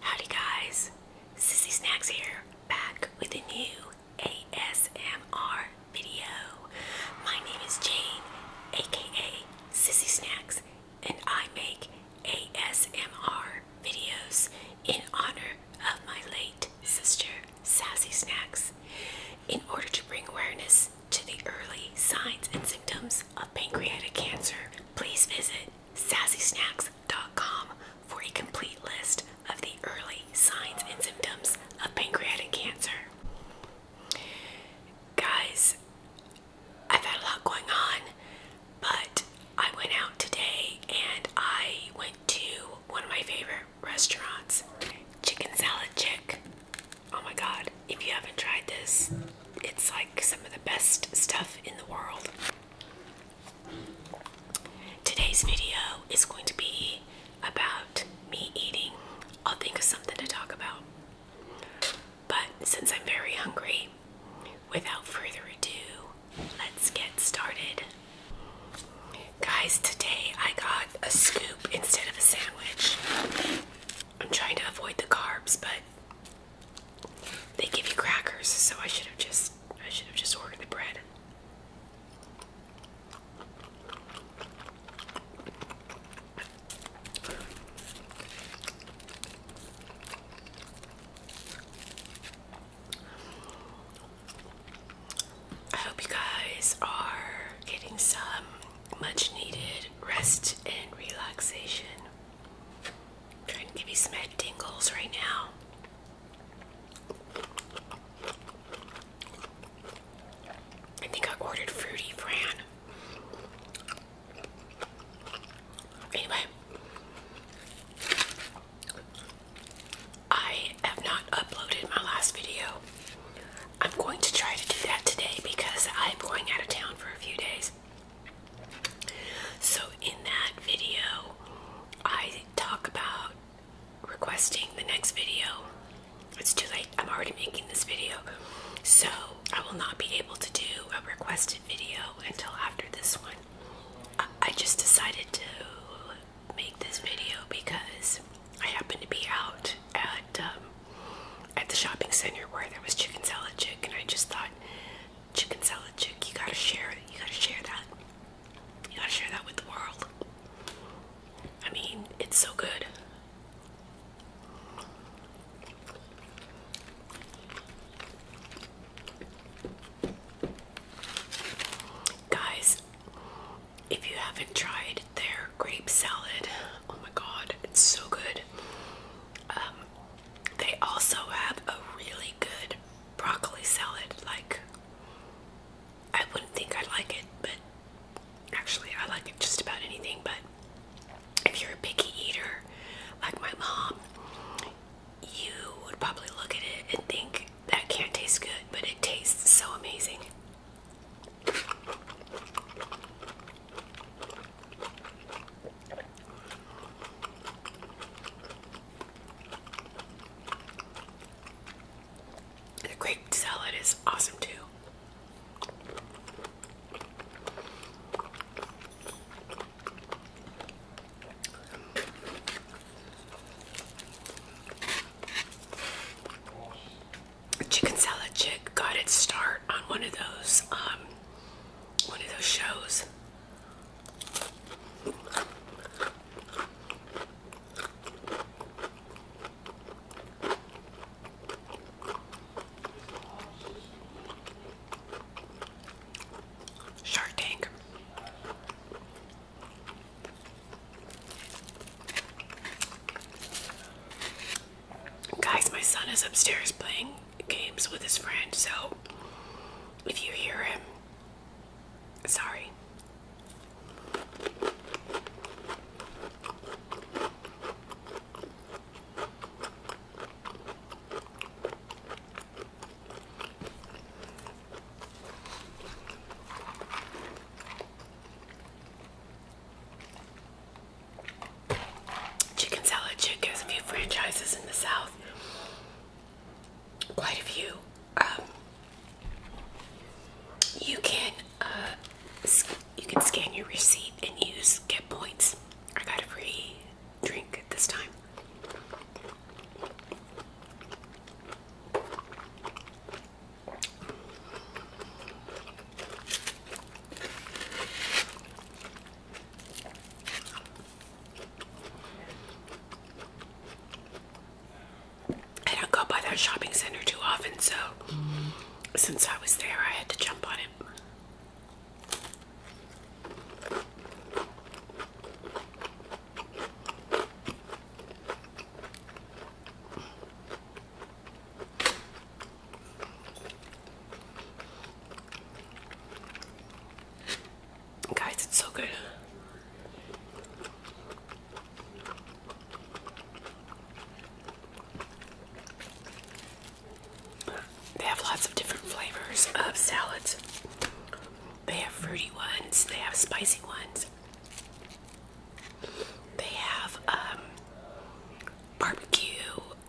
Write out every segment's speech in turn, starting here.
Howdy guys, Sissy Snacks here, back with a new ASMR video. My name is Jane, aka Sissy Snacks, and I make ASMR videos in honor of my late sister, Sassy Snacks, in order to bring awareness to the early signs and symptoms of pancreatic cancer. Please visit sassysnacks.com for a complete list of the early signs and symptoms of pancreatic cancer. Guys, I've had a lot going on, but I went out today and I went to one of my favorite restaurants, Chicken Salad Chick. Oh my god, if you haven't tried this, it's like some of the best stuff in the world. Today's video is going to be about me eating. I'll think of something to talk about. But since I'm very hungry, without further ado, let's get started. Guys, today I got a scoop instead of a sandwich. I'm trying to avoid the carbs, but they give you crackers, so I should have just I should have just ordered the bread. I hope you guys are getting some much needed rest and relaxation. I'm trying to give you some tingles right now. I think I ordered Fruity Fran. Anyway, I have not uploaded my last video. I'm going to try to do that today because I'm going out of town for a few days. So, in that video, I talk about requesting the next video. It's too late, I'm already making this video, so I will not be able to do a requested video until after this one. I, just decided to make this video because I happened to be out at um, at the shopping center where there was chicken salad chick, and I just thought chicken salad chick. You gotta share it. You gotta share that. You gotta share that with the world. I mean, it's so good. Guys, if you haven't tried their grape salad, oh my god, it's so good. Um, they also have a really good broccoli salad. Like, I wouldn't think I'd like it, but actually, I like it just about anything. But if you're a picky eater, like my mom, you would probably look at it and think that can't taste good, but it tastes so amazing. The grape salad is awesome too. Chicken salad chick got its start on one of those um, one of those shows. Shark Tank. Guys, my son is upstairs playing games with his friend. So if you hear him, sorry. Chicken salad chick has a franchises in the South quite a few. Um, you can uh, you can scan your receipt and use get points. I got a free drink this time. I don't go by that shopping center too often, so since I was there, I had to jump on it. Guys, it's so good. They have lots of different flavors of salads. They have fruity ones, they have spicy ones, they have um, barbecue,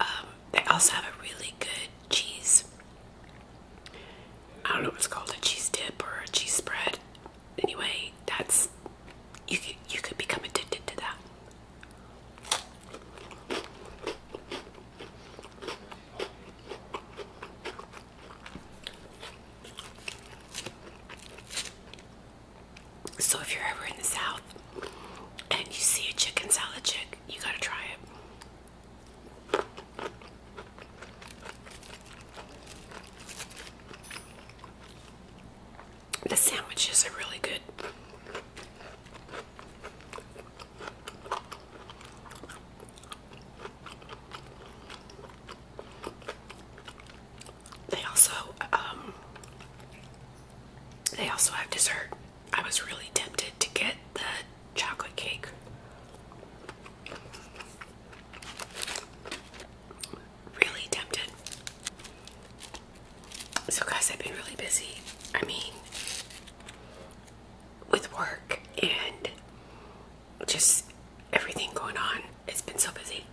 um, they also have a really good cheese. I don't know what's called a cheese dip or a cheese spread. Anyway, that's you could you could become addicted to that. So if you're ever in the South and you see a chicken salad chick, you gotta try it. The sandwiches are really good. They also um, they also have dessert. I was really tempted to get the chocolate cake. Really tempted. So, guys, I've been really busy. I mean, with work and just everything going on, it's been so busy.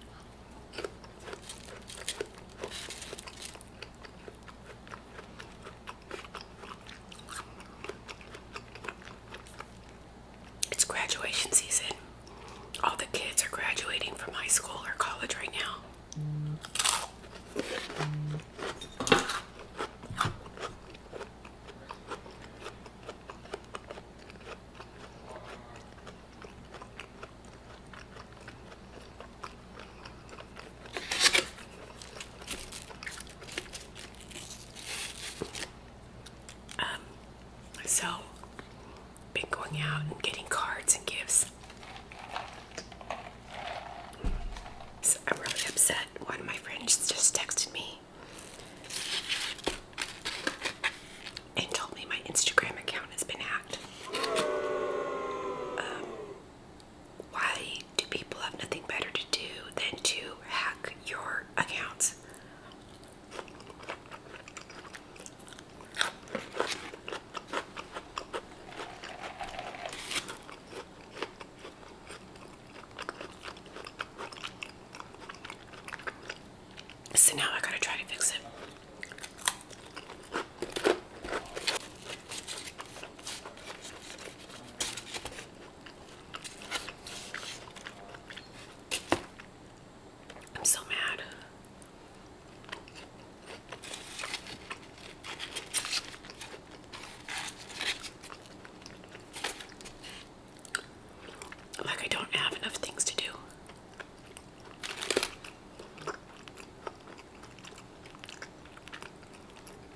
It's graduation season. All the kids are graduating from high school or college right now. Um, so, been going out and getting cards and gifts. So I'm really upset. One of my friends just texted me and told me my Instagram account has been hacked. Um, why do people have nothing better to do than to hack your accounts? So now I gotta try to fix it. I'm so mad. Like, I don't have enough things to do.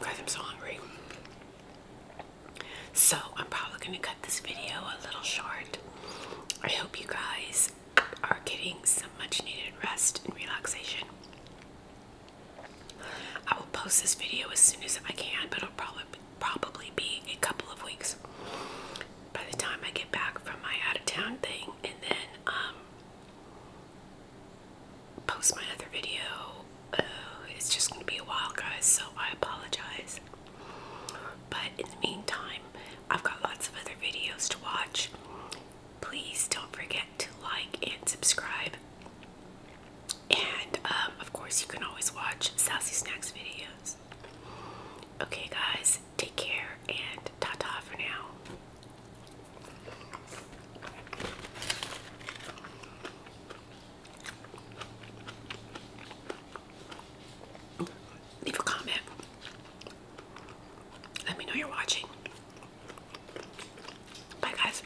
Guys, I'm so hungry. So, I'm probably going to cut this video a little short. I hope you guys are getting some much needed rest and relaxation. I will post this video as soon as I can, but it'll probably be probably be a couple of weeks by the time I get back from my out of town thing and then um post my other video. Uh, it's just gonna be a while guys, so I apologize. But in the meantime, I've got lots of other videos to watch. Please don't forget to like and subscribe. And um, of course, you can always watch Sassy Snacks videos. Okay, guys, take care and ta ta for now. Leave a comment. Let me know you're watching. Bye, guys.